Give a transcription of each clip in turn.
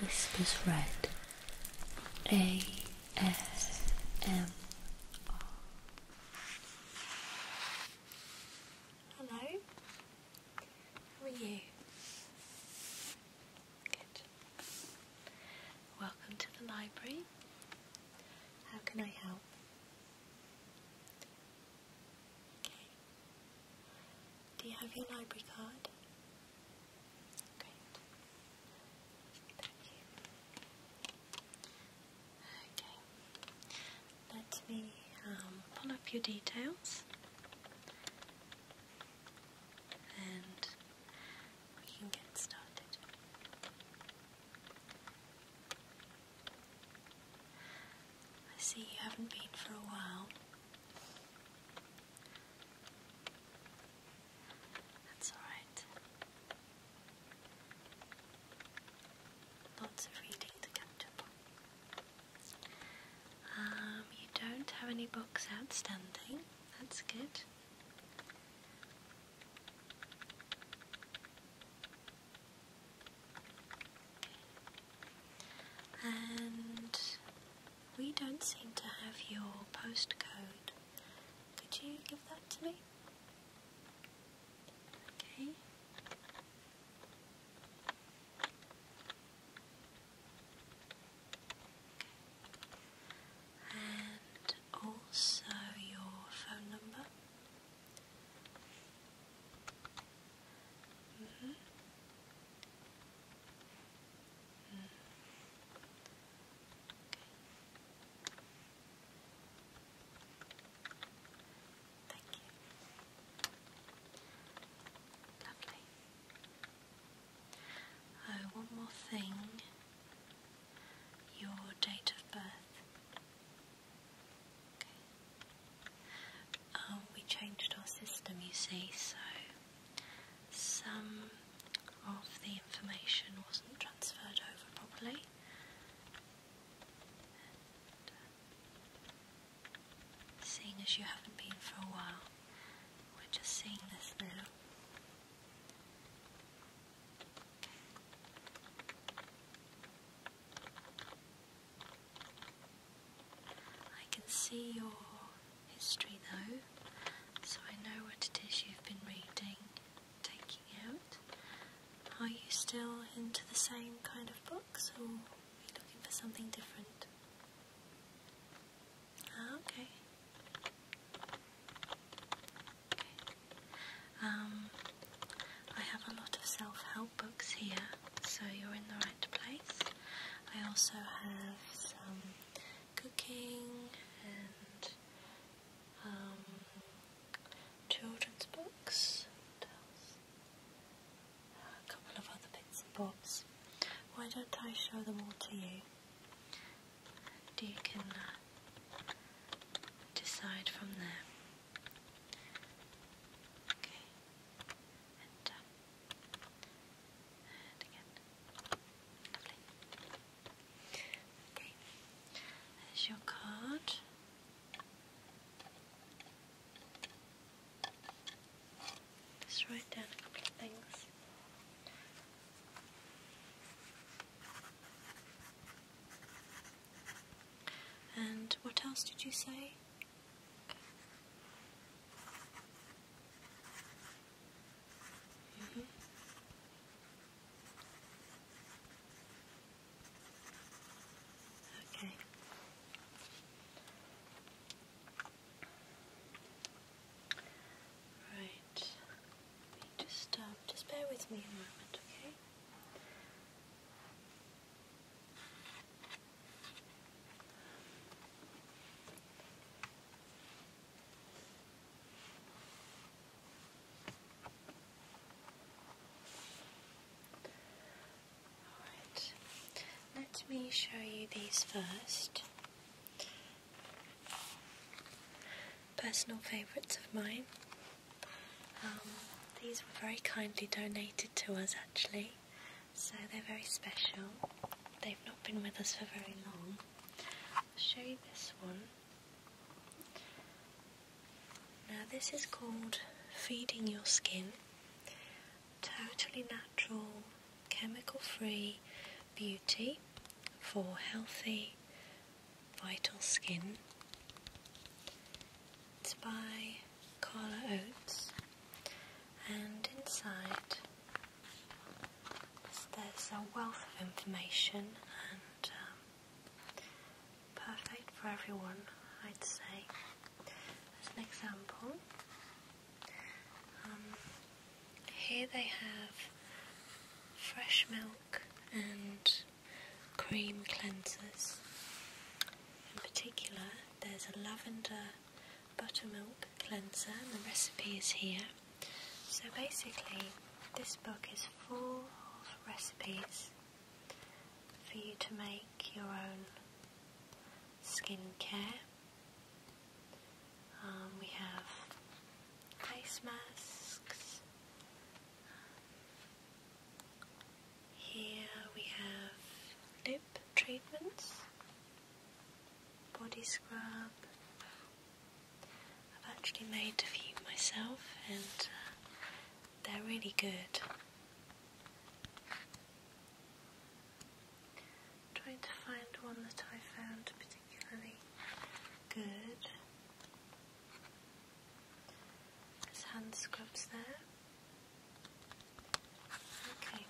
Whispers Red A S M R. Hello, how are you? Good. Welcome to the library. How can I help? Do you have your library card? Great. Thank you. Okay. Let me um, pull up your details and we can get started. I see you haven't been for a while. That's alright. Lots of reading to catch up um, you don't have any books outstanding. That's good. And we don't seem to have your postcode. Could you give that to me? Okay. And also your phone number. Mm-hmm. Thank Oh, one more thing. Your date of birth. Um, we changed our system, you see, so some of the information wasn't transferred over properly. Uh, seeing as you haven't been for a while, we're just seeing this now. I can see your history though, so I know what it is you've been reading, taking out. Are you still into the same kind of books or are looking for something different? Ah, okay. okay. Um, I have a lot of self-help books here, so you're in the right place. I also have some cooking and um, children's books. A couple of other bits and bobs. Why don't I show them all to you? you can uh, decide from there. Okay. And, uh, and There's your card. Just write down a couple of things. And what else did you say? Okay. Right. Just um, just bear with me a moment, okay? let me show you these first. Personal favourites of mine. Um, these were very kindly donated to us actually so they're very special. They've not been with us for very long. I'll show you this one. Now, this is called Feeding Your Skin. Totally natural, chemical free beauty for healthy, vital skin. It's by Carla Oates, and inside there's a wealth of information and um, perfect for everyone, I'd say. As an example, um, here they have fresh milk and cream cleansers. In particular, there's a lavender buttermilk cleanser and the recipe is here. So basically this book is full of recipes for you to make your own skincare. Um, we have face masks. Here we have lip treatments body scrub. I've actually made a few myself and uh, they're really good. trying to find one that I found particularly good. There's hand scrubs there. Okay,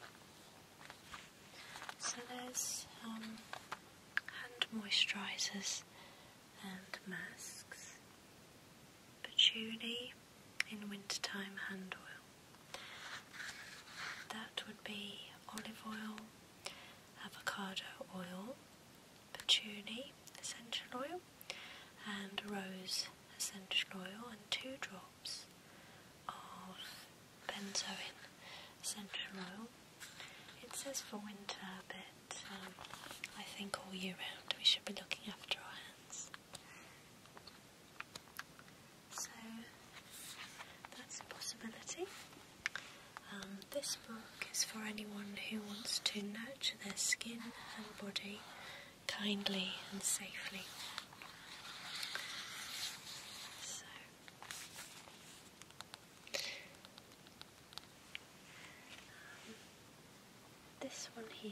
so there's um, hand moisturisers and masks, patchouli in wintertime hand oil. That would be olive oil, avocado oil, patchouli essential oil, and rose essential oil, and two drops of benzoin central. It says for winter, but um, I think all year round we should be looking after our hands. So that's a possibility. Um, this book is for anyone who wants to nurture their skin and body kindly and safely. So this one here.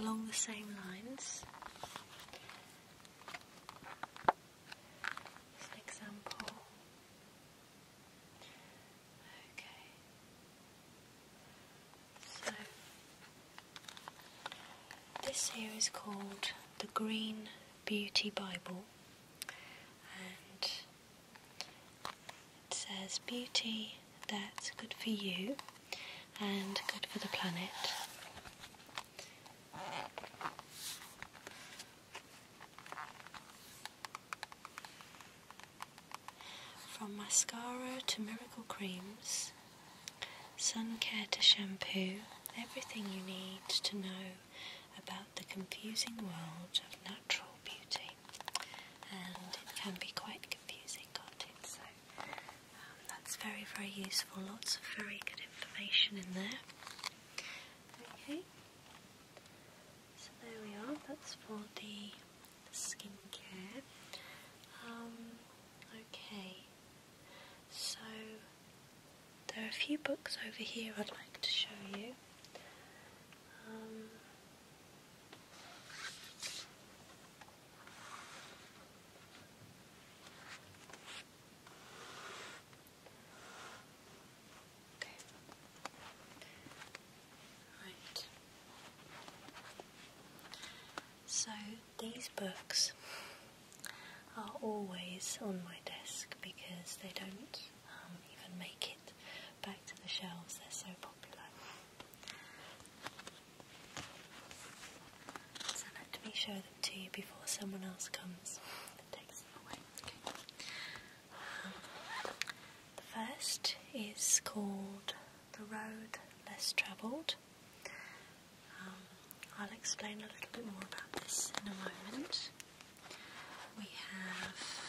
Along the same lines. example. Okay. So, this here is called the Green Beauty Bible, and it says beauty that's good for you and good for the planet. From mascara to miracle creams, Sun care to shampoo, everything you need to know about the confusing world of natural beauty. And it can be quite confusing, can't it? So um, that's very, very useful. Lots of very good information in there. Okay, so there we are. That's for the skincare. Um, Okay, so there are a few books over here I'd like to show you. Um, okay. Right. So these books are always on my desk because they don't um, even make it back to the shelves, they're so popular. So let me show them to you before someone else comes and takes them away. the first is called The Road Less Travelled um, I'll explain a little bit more about this in a moment. We have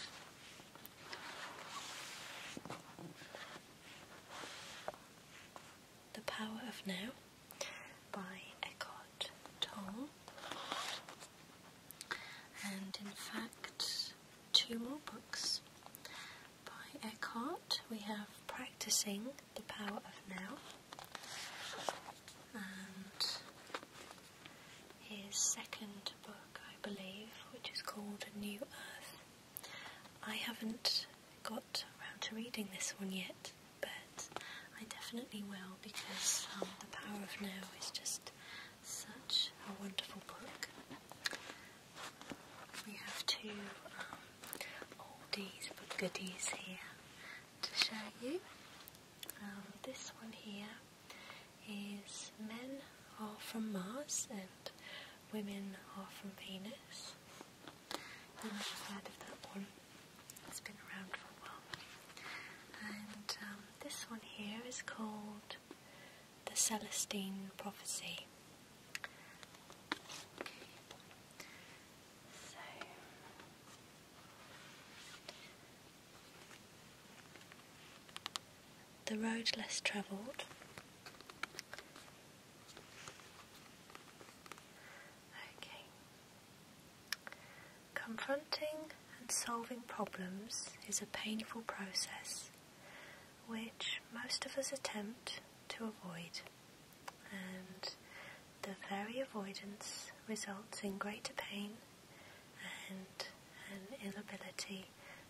The Power of Now by Eckhart Tolle. And in fact, two more books by Eckhart. We have Practicing the power of now. And his second book, I believe, which is called New Earth. I haven't got around to reading this one yet, but I definitely will because um, The Power of Now is just such a wonderful book. We have two um, oldies but goodies here to show you. Um, this one here is Men Are From Mars and Women Are From Venus. You might have heard of that one. It's been around for a while. And um, this one here is called The Celestine Prophecy the road less travelled. Confronting and solving problems is a painful process which most of us attempt to avoid and the very avoidance results in greater pain and an inability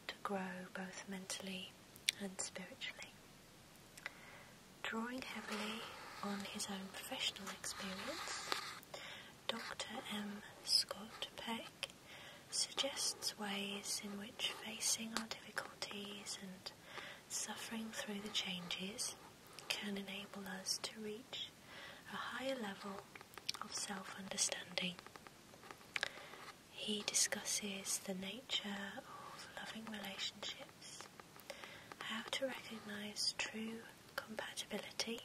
to grow both mentally and spiritually. Drawing heavily on his own professional experience, Dr. M. Scott Peck suggests ways in which facing our difficulties and Suffering through the changes can enable us to reach a higher level of self understanding. He discusses the nature of loving relationships, how to recognize true compatibility,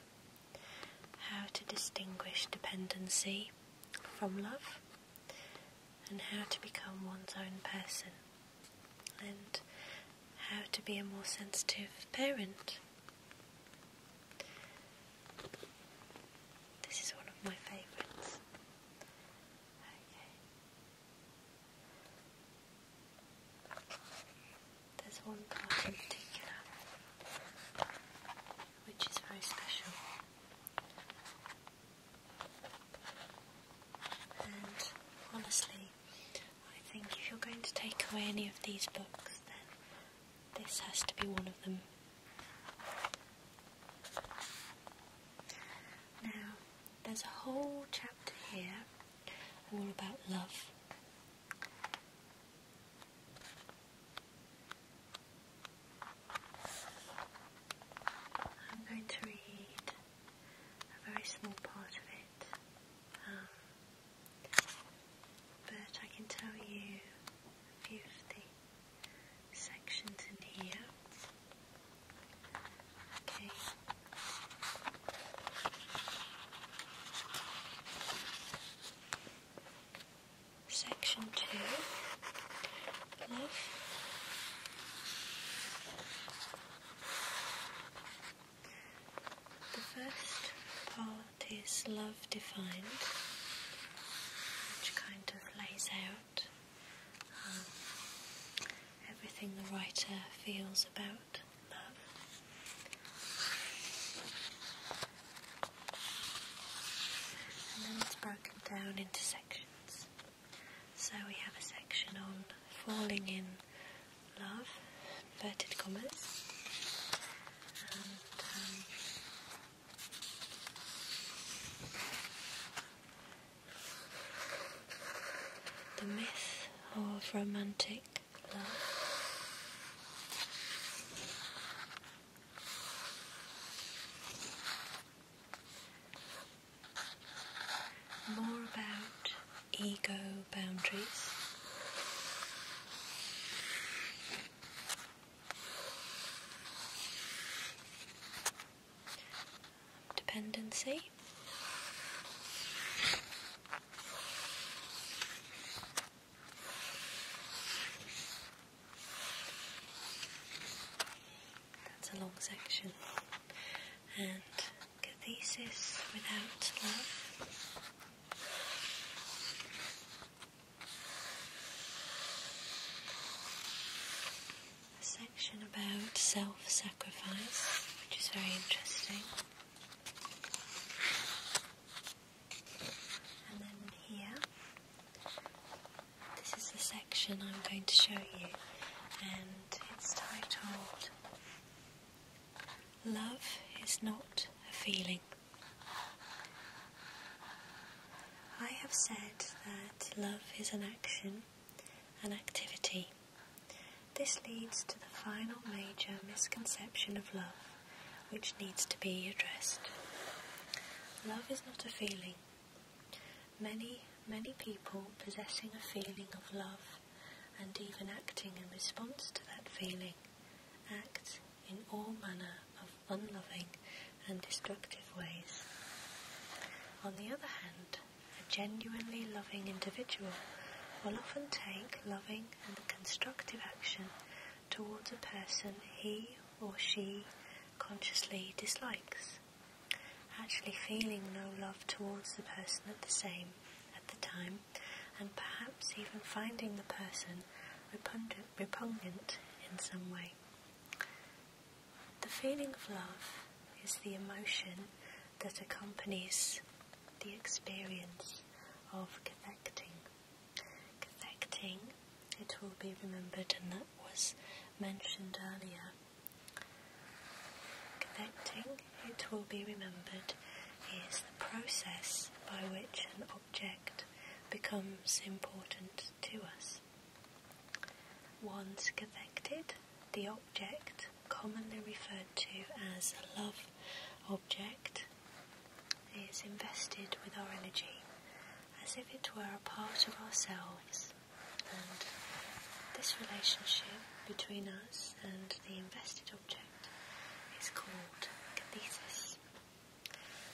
how to distinguish dependency from love, and how to become one's own person and how to be a more sensitive parent. This is one of my favourites. Okay. There's one part in particular which is very special. And honestly, I think if you're going to take away any of these books, then this has to be one of them. Now, there's a whole chapter here all about love. I'm going to read a very small part of it. Um, but I can tell you a few of the sections in here. Okay. Section two. The first part is love defined, which kind of lays out um, everything the writer feels about love. And then it's broken down into sections. So we have a section on falling in love, inverted commas, um, the myth of romantic love more about ego boundaries. Dependency. That's a long section, and Cathesis without love. A section about self sacrifice, which is very interesting. And then here, this is the section I'm going to show you, um, it's titled Love is Not a Feeling. I have said that love is an action, an activity. This leads to the final major misconception of love, which needs to be addressed. Love is not a feeling. Many, many people possessing a feeling of love and even acting in response to that feeling act in all manner of unloving and destructive ways. On the other hand, a genuinely loving individual will often take loving and constructive action towards a person he or she consciously dislikes actually feeling no love towards the person at the same at the time, and perhaps even finding the person repugnant, in some way. The feeling of love is the emotion that accompanies the experience of connecting. Cathecting, it will be remembered, and that was mentioned earlier, Connecting, it will be remembered, is the process by which an object becomes important to us. Once connected, the object, commonly referred to as a love object, is invested with our energy as if it were a part of ourselves and this relationship between us and the invested object is called kinesis.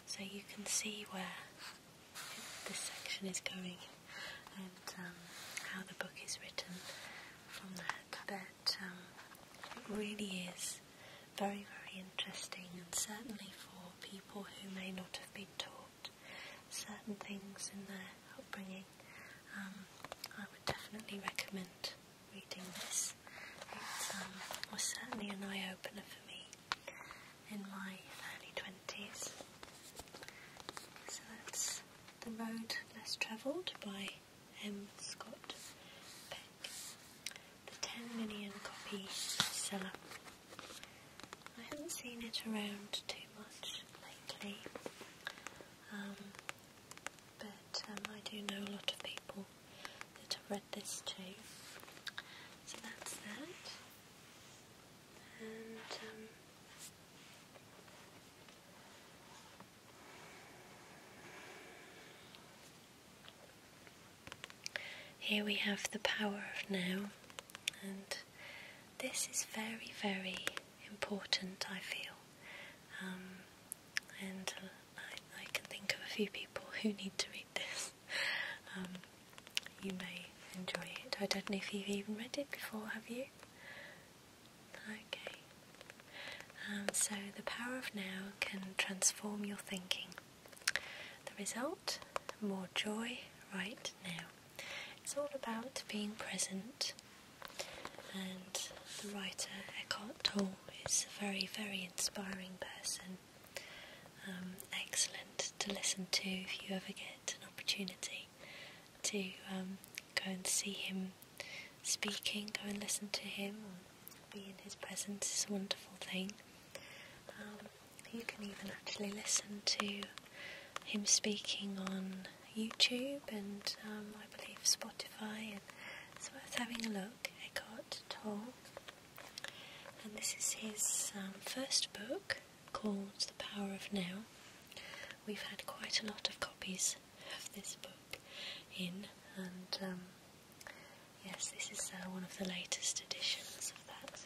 So you can see where this section is going and um, how the book is written from that. But um, it really is very, very interesting, and certainly for people who may not have been taught certain things in their upbringing um, I would definitely recommend reading this. It um, was certainly an eye opener for me in my early 20s. So that's The Road Less Travelled by M. Scott Peck, the 10 million copy seller. I haven't seen it around too much lately. Um, but um, I do know a lot of people that have read this too. So that's that. And um, here we have the power of now, and this is very, very important, I feel. Um, and I, can think of a few people who need to read this. Um, you may enjoy it. I don't know if you've even read it before, have you? Okay. Um, so, the power of now can transform your thinking. The result? More joy right now. It's all about being present, and the writer Eckhart Tolle is a very, very inspiring person. Um, excellent to listen to if you ever get an opportunity to um, go and see him speaking, go and listen to him, Being in his presence is a wonderful thing. Um, you can even actually listen to him speaking on YouTube and um, I believe Spotify, and it's worth having a look. Eckhart Tolle, and this is his um, first book called The Power of Now. We've had quite a lot of copies of this book in, and um, yes, this is uh, one of the latest editions of that.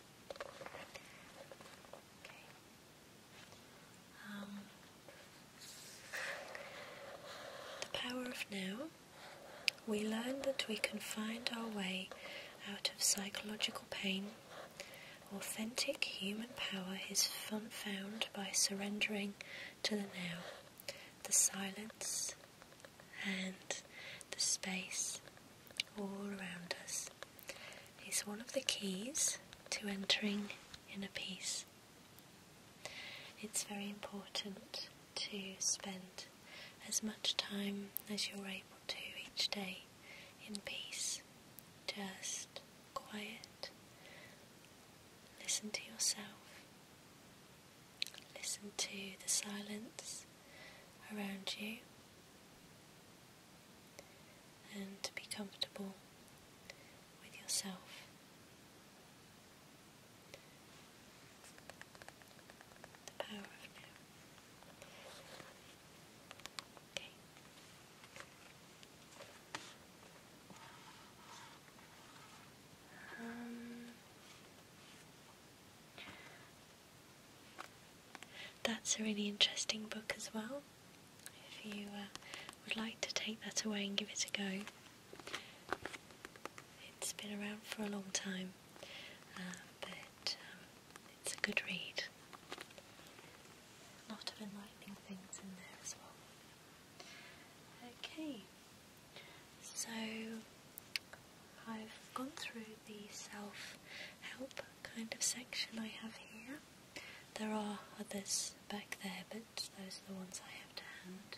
Um, the power of now. We learn that we can find our way out of psychological pain. Authentic human power is found by surrendering to the now, the silence and the space all around us. Is one of the keys to entering inner peace. It's very important to spend as much time as you're able to each day in peace, just quiet. Listen to yourself, listen to the silence around you and to be comfortable with yourself. The power of now. Okay. Um, that's a really interesting book as well if you uh, would like to take that away and give it a go. It's been around for a long time, uh, but um, it's a good read. A lot of enlightening things in there as well. Okay, so I've gone through the self help kind of section I have here. There are others back there, but those are the ones I have to hand.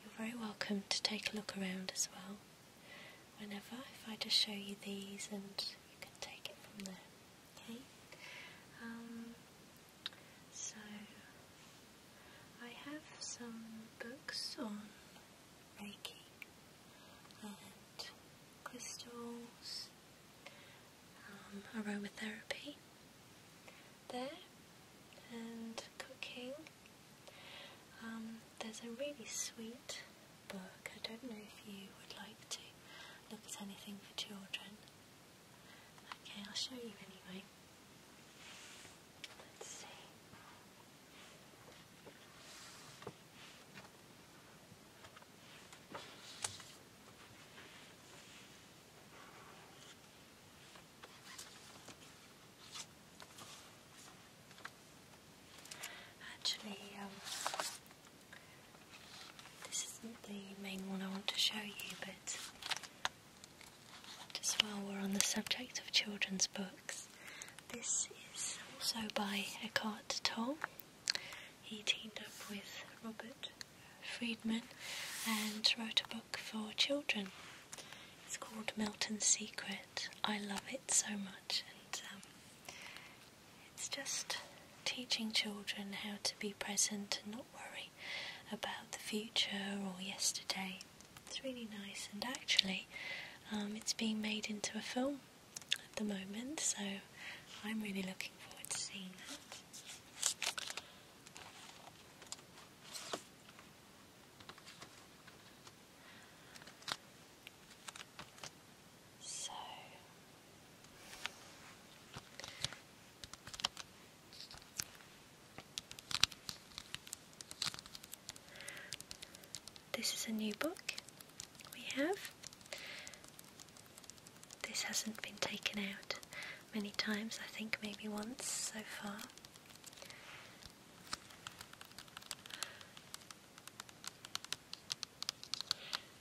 You're very welcome to take a look around as well. Whenever, if I just show you these and you can take it from there. Okay? Um, so, I have some books on Reiki and crystals um, aromatherapy there and cooking. Um, there's a really sweet book. I don't know if you would like to look at anything for children. Okay, I'll show you anyway. Let's see. Actually, um, this isn't the main one I want to show you, but just while we're on the subject of children's books, this is also by Eckhart Tolle. He teamed up with Robert Friedman and wrote a book for children. It's called Milton's Secret. I love it so much, and um, it's just teaching children how to be present and not worry about the future or yesterday. It's really nice, and actually, um, it's being made into a film at the moment, so I'm really looking forward to seeing that. So this is a new book we have. This hasn't been taken out many times, I think maybe once so far.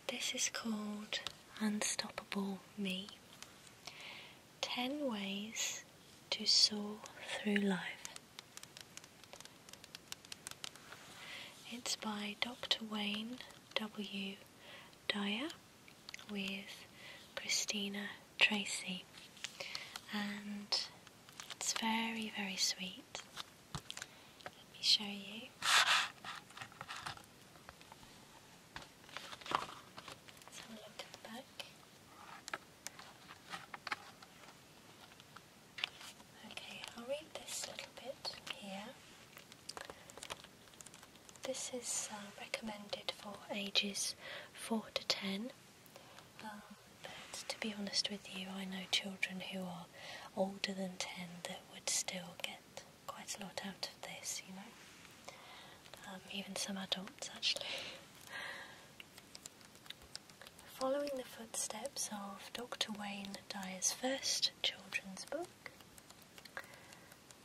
This is called Unstoppable Me 10 Ways to Soar Through Life. It's by Dr. Wayne W. Dyer with Christina Tracy, and it's very, very sweet. Let me show you. Let's have a look at the back. Okay, I'll read this little bit here. This is uh, recommended for ages 4 to 10. Uh, but to be honest with you, I know children who are older than 10 that would still get quite a lot out of this, you know. Um, even some adults, actually. Following the footsteps of Dr. Wayne Dyer's first children's book,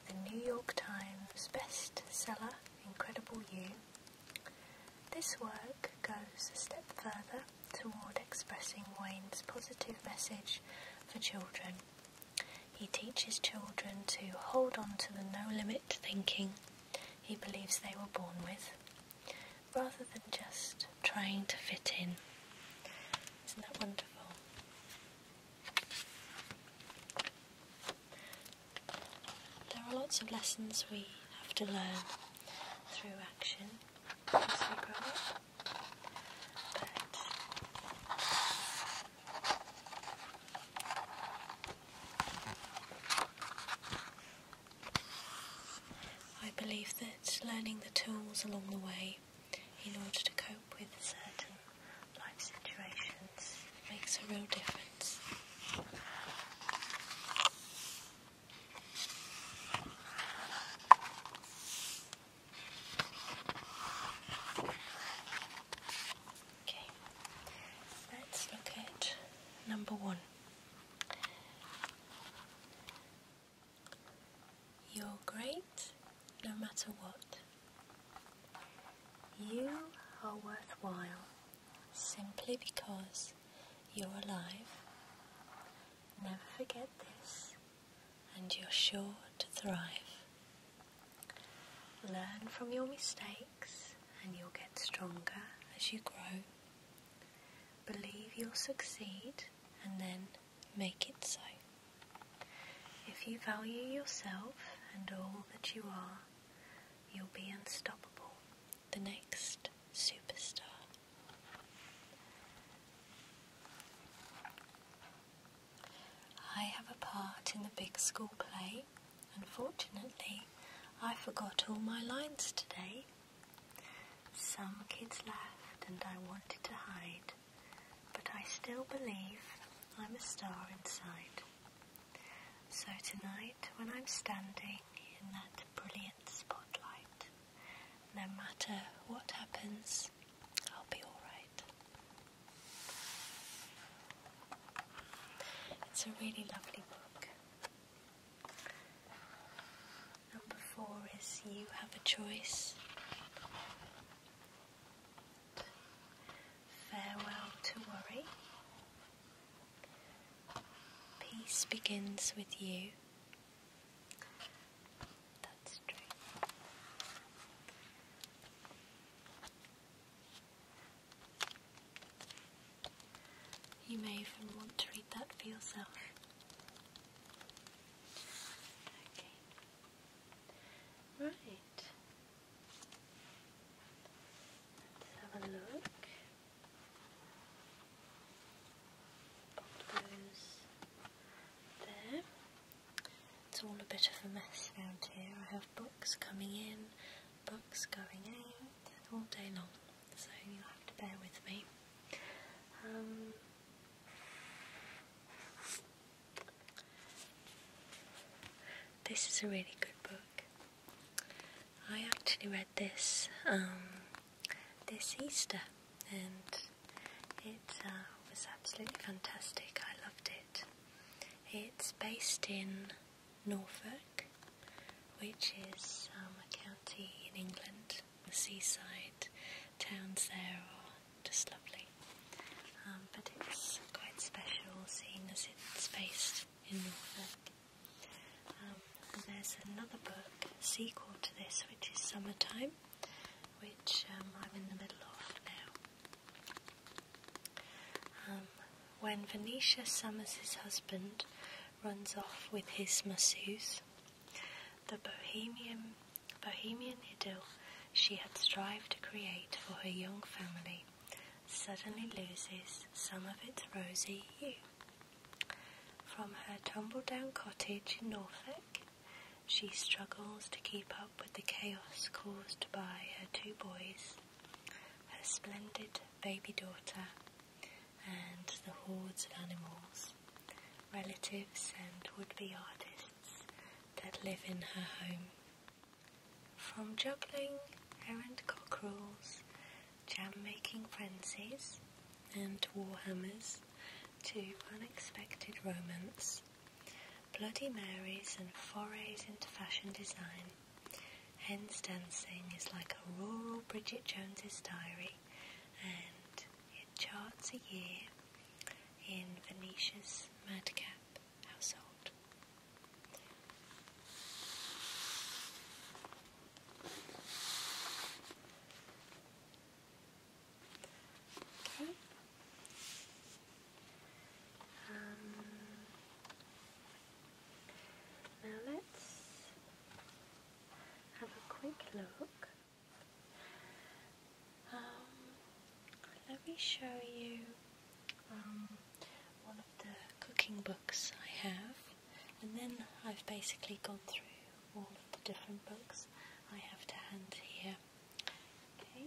the New York Times bestseller Incredible You. This work goes a step further toward expressing Wayne's positive message for children. He teaches children to hold on to the no limit thinking he believes they were born with, rather than just trying to fit in. Isn't that wonderful? There are lots of lessons we have to learn through action as we grow up. I believe that learning the tools along the way in order to cope with certain life situations. makes a real difference. Okay, let's look at number one. You're great no matter what. You are worthwhile simply because you're alive. Never forget this, and you're sure to thrive. Learn from your mistakes, and you'll get stronger as you grow. Believe you'll succeed, and then make it so. If you value yourself and all that you are, you'll be unstoppable, the next superstar. I have a part in the big school play. Unfortunately, I forgot all my lines today. Some kids laughed and I wanted to hide, but I still believe I'm a star inside. So tonight, when I'm standing in that brilliant spotlight, no matter what happens, I'll be alright. It's a really lovely book. Number four is You Have a Choice. Farewell to worry. Peace begins with you. That's true. You may even want to read that for yourself. Okay. Right. Let's have a look. there. It's all a bit of a mess around here. I have books coming in, books going out, all day long. So you'll have to bear with me. Um, this is a really good book. I actually read this um, this Easter and it uh, was absolutely fantastic. I loved it. It's based in Norfolk, which is um, a county in England. The seaside towns there are just lovely. Um, but it's quite special seeing as it's based in Norfolk. Um, there's another book, sequel to this, which is Summertime, which um, I'm in the middle of now. when Venetia Summers' husband runs off with his masseuse, the bohemian, bohemian idyll she had strived to create for her young family suddenly loses some of its rosy hue. From her tumble down cottage in Norfolk, she struggles to keep up with the chaos caused by her two boys, her splendid baby daughter, and the hordes of animals, relatives, and would be artists that live in her home. From juggling errant cockerels, jam making frenzies, and war hammers to unexpected romance, Bloody Marys, and forays into fashion design, Hen's dancing is like a rural Bridget Jones's diary, and it charts a year in Venetia's madcap household. Um, now let's have a quick look. Um, let me show you um, one of the cooking books I have, and then I've basically gone through all of the different books I have to hand here. Okay.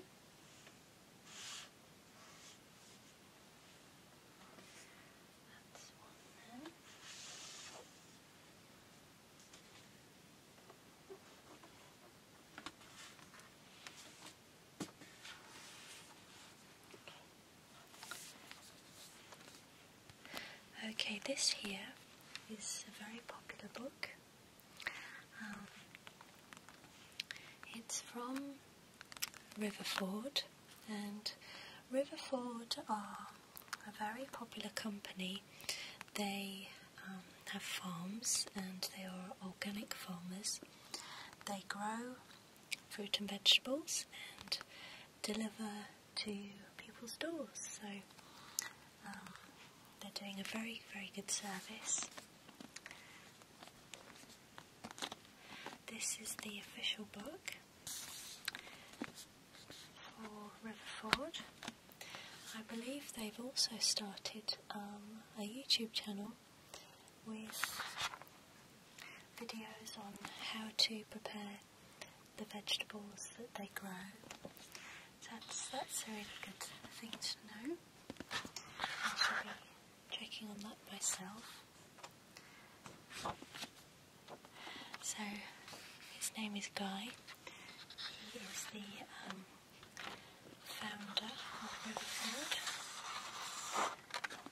Okay, this here is a very popular book. Um, it's from Riverford, and Riverford are a very popular company. They um, have farms and they are organic farmers. They grow fruit and vegetables and deliver to people's doors. So um, they're doing a very, very good service. This is the official book for Riverford. I believe they've also started um, a YouTube channel with videos on how to prepare the vegetables that they grow. that's, that's a really good thing to know. I shall be checking on that myself. So his name is Guy. He is the um, founder of Riverford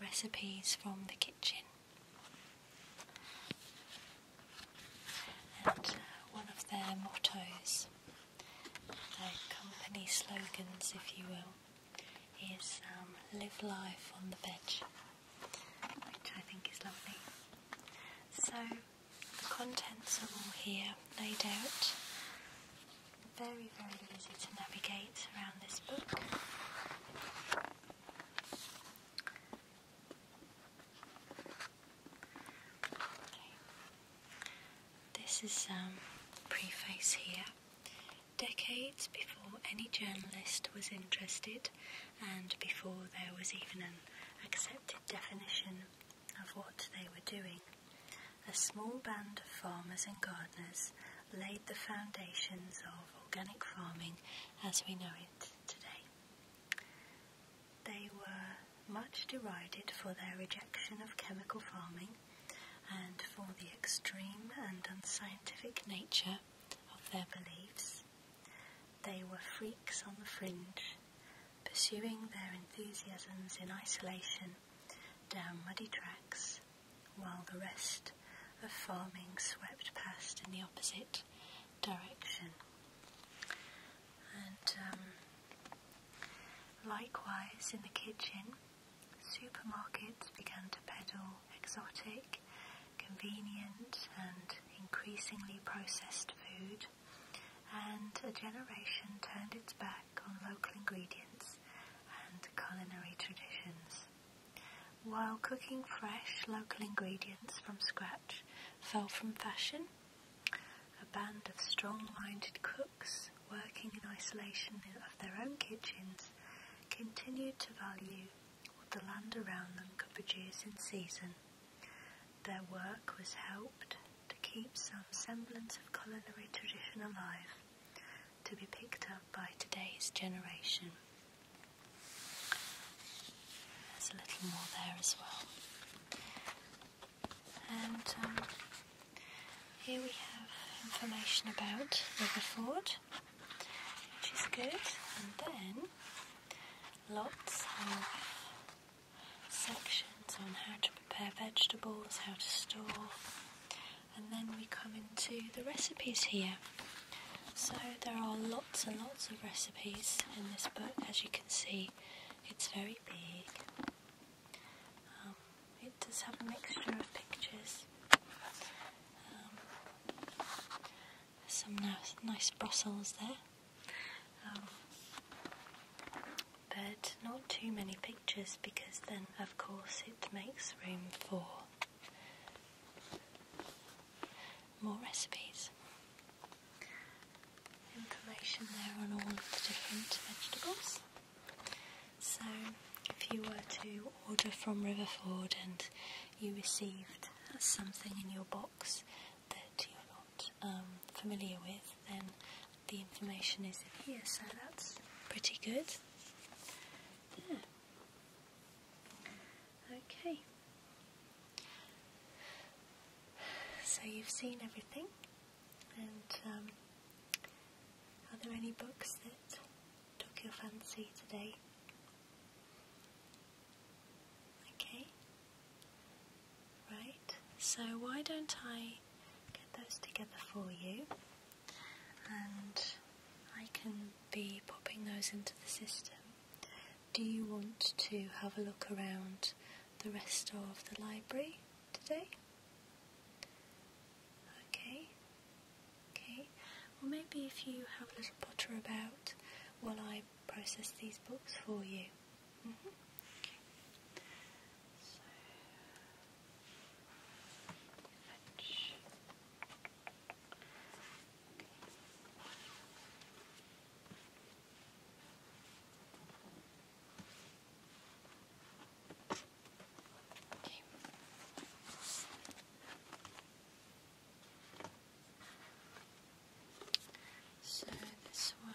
recipes from the kitchen. And uh, one of their mottos, their company slogans, if you will, is um, live life on the veg, which I think is lovely. So the contents are all here, laid out. Very, very easy to navigate this is um preface here. Decades before any journalist was interested, and before there was even an accepted definition of what they were doing, a small band of farmers and gardeners laid the foundations of organic farming as we know it today. They were much derided for their rejection of chemical farming and for the extreme and unscientific nature of their beliefs. They were freaks on the fringe, pursuing their enthusiasms in isolation down muddy tracks while the rest of farming swept past in the opposite direction. And um, likewise, in the kitchen, supermarkets began to peddle exotic, convenient, and increasingly processed food, and a generation turned its back on local ingredients and culinary traditions. While cooking fresh local ingredients from scratch fell from fashion, a band of strong-minded cooks working in isolation of their own kitchens continued to value what the land around them could produce in season. Their work was helped to keep some semblance of culinary tradition alive to be picked up by today's generation. There's a little more there as well. And um, here we have information about Riverford, which is good. And then lots of sections on how to prepare vegetables, how to store, and then we come into the recipes here. So there are lots and lots of recipes in this book, as you can see, it's very big. Um, it does have a mixture of pictures. Um, some nice, nice Brussels there. Um, but not too many pictures because then, of course, it makes room for more recipes. Information there on all of the different vegetables. So, if you were to order from Riverford and you received something in your box that you're not um, familiar with, then the information is in here, so that's pretty good. Yeah. Okay. So you've seen everything, and um, are there any books that took your fancy today? Okay. Right, so why don't I get those together for you? and I can be popping those into the system. Do you want to have a look around the rest of the library today? Okay, okay. Well, maybe if you have a little potter about while I process these books for you. Mm -hmm. So, fetch. So this one.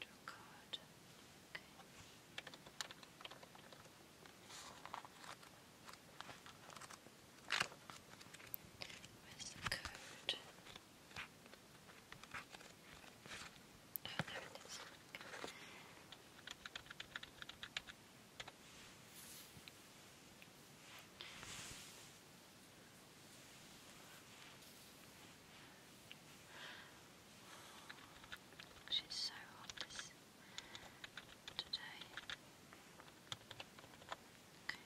Draw card. Where's the code? Oh, there it is. She's so hot today. Okay,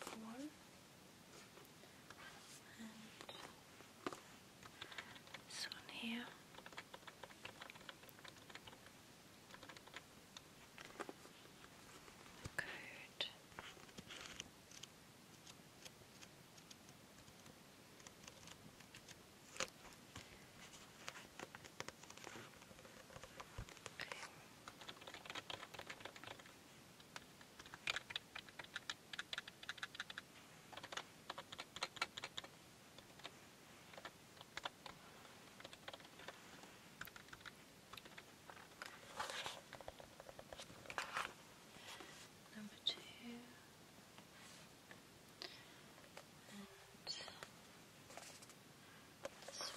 number one. And this one here. Good. Okay. Okay. Number two. And this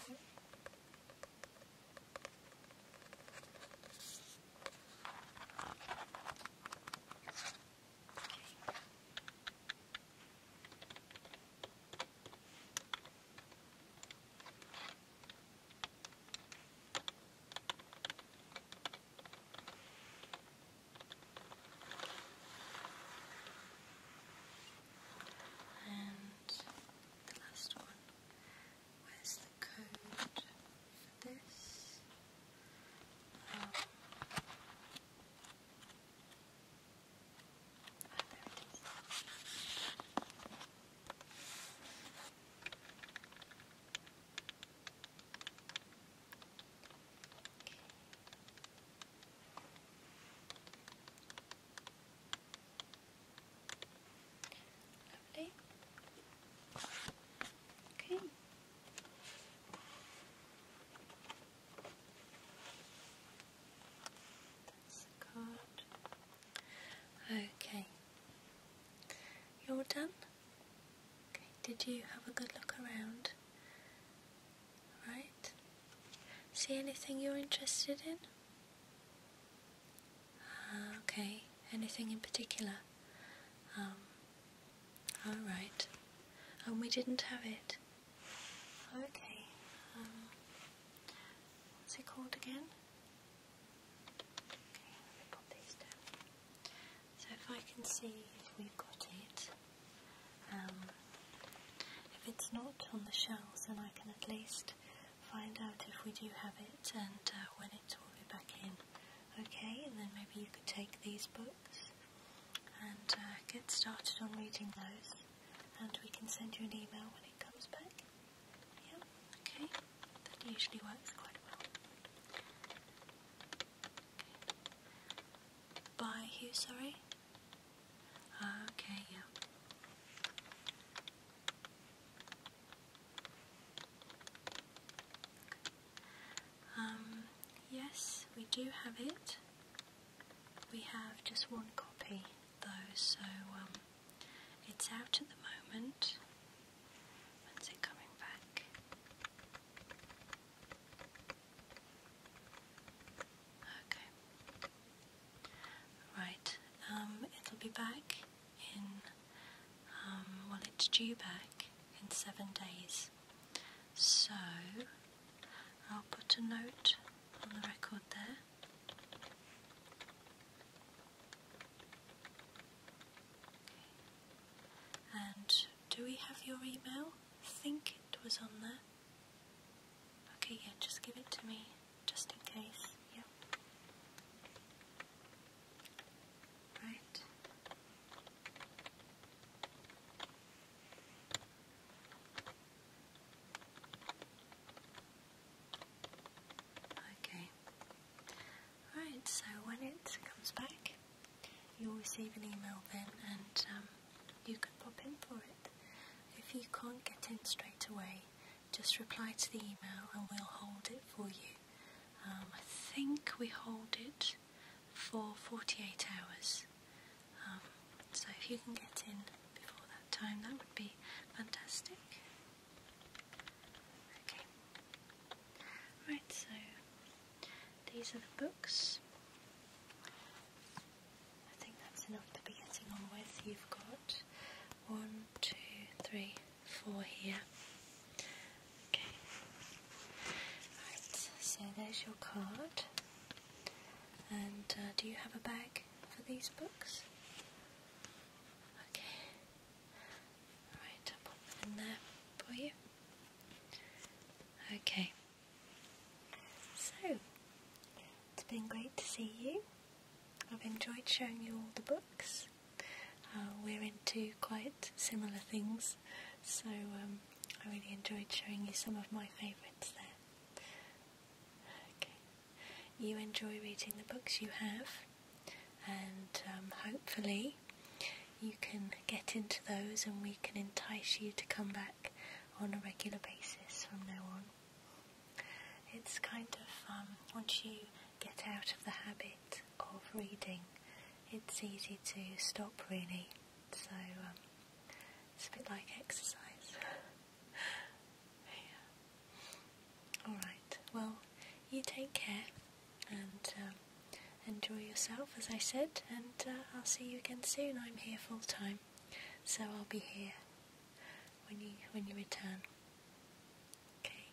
one. Okay. And the last one. Where's the code for this? Um, Oh, there it is. Okay. Lovely. Okay. Okay. You're done? did you have a good look around? Right? See anything you're interested in? Ah, okay, anything in particular? Um, alright. And we didn't have it. Okay. Um, what's it called again? Okay, let me pop these down. So if I can see if we've got it, um, if it's not on the shelves then I can at least find out if we do have it and uh, when it's all be back in. Okay, and then maybe you could take these books and uh, get started on reading those and we can send you an email when it comes back. Yeah, okay. That usually works quite well. By who, sorry? Uh, okay, yeah. Um, yes, we do have it. We have just one copy though, so um, it's out at the moment. When's it coming back? Okay. Right, um, it'll be back in, um, well, it's due back in seven days. So, I'll put a note on the record there and do we have your email? think it was on there. Okay, yeah, just give it to me just in case. Yep. Right. Okay. Right, so when it comes back, you'll receive an email then and um, you can pop in for it. If you can't get in straight away, just reply to the email and we'll hold it for you. Um, I think we hold it for 48 hours. Um, so if you can get in before that time. That would be fantastic. Okay. Right, so these are the books. I think that's enough to be getting on with. You've got one, two, three, four here. Okay. Right, so there's your card. And uh, do you have a bag for these books? Okay. Alright, I'll pop that in there for you. Okay. So, it's been great to see you. I've enjoyed showing you all the books. Uh, we're into quite similar things, so um, I really enjoyed showing you some of my favourites there. Okay you enjoy reading the books you have, and um, hopefully you can get into those and we can entice you to come back on a regular basis from now on. It's kind of, um, once you get out of the habit of reading, it's easy to stop really. So um, it's a bit like exercise. Yeah. Alright, well, you take care and um, enjoy yourself, as I said, and uh, I'll see you again soon. I'm here full time, so I'll be here when you, when you return. Okay?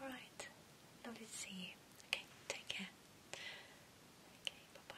Alright, lovely to see you. Okay, take care. Okay, bye bye.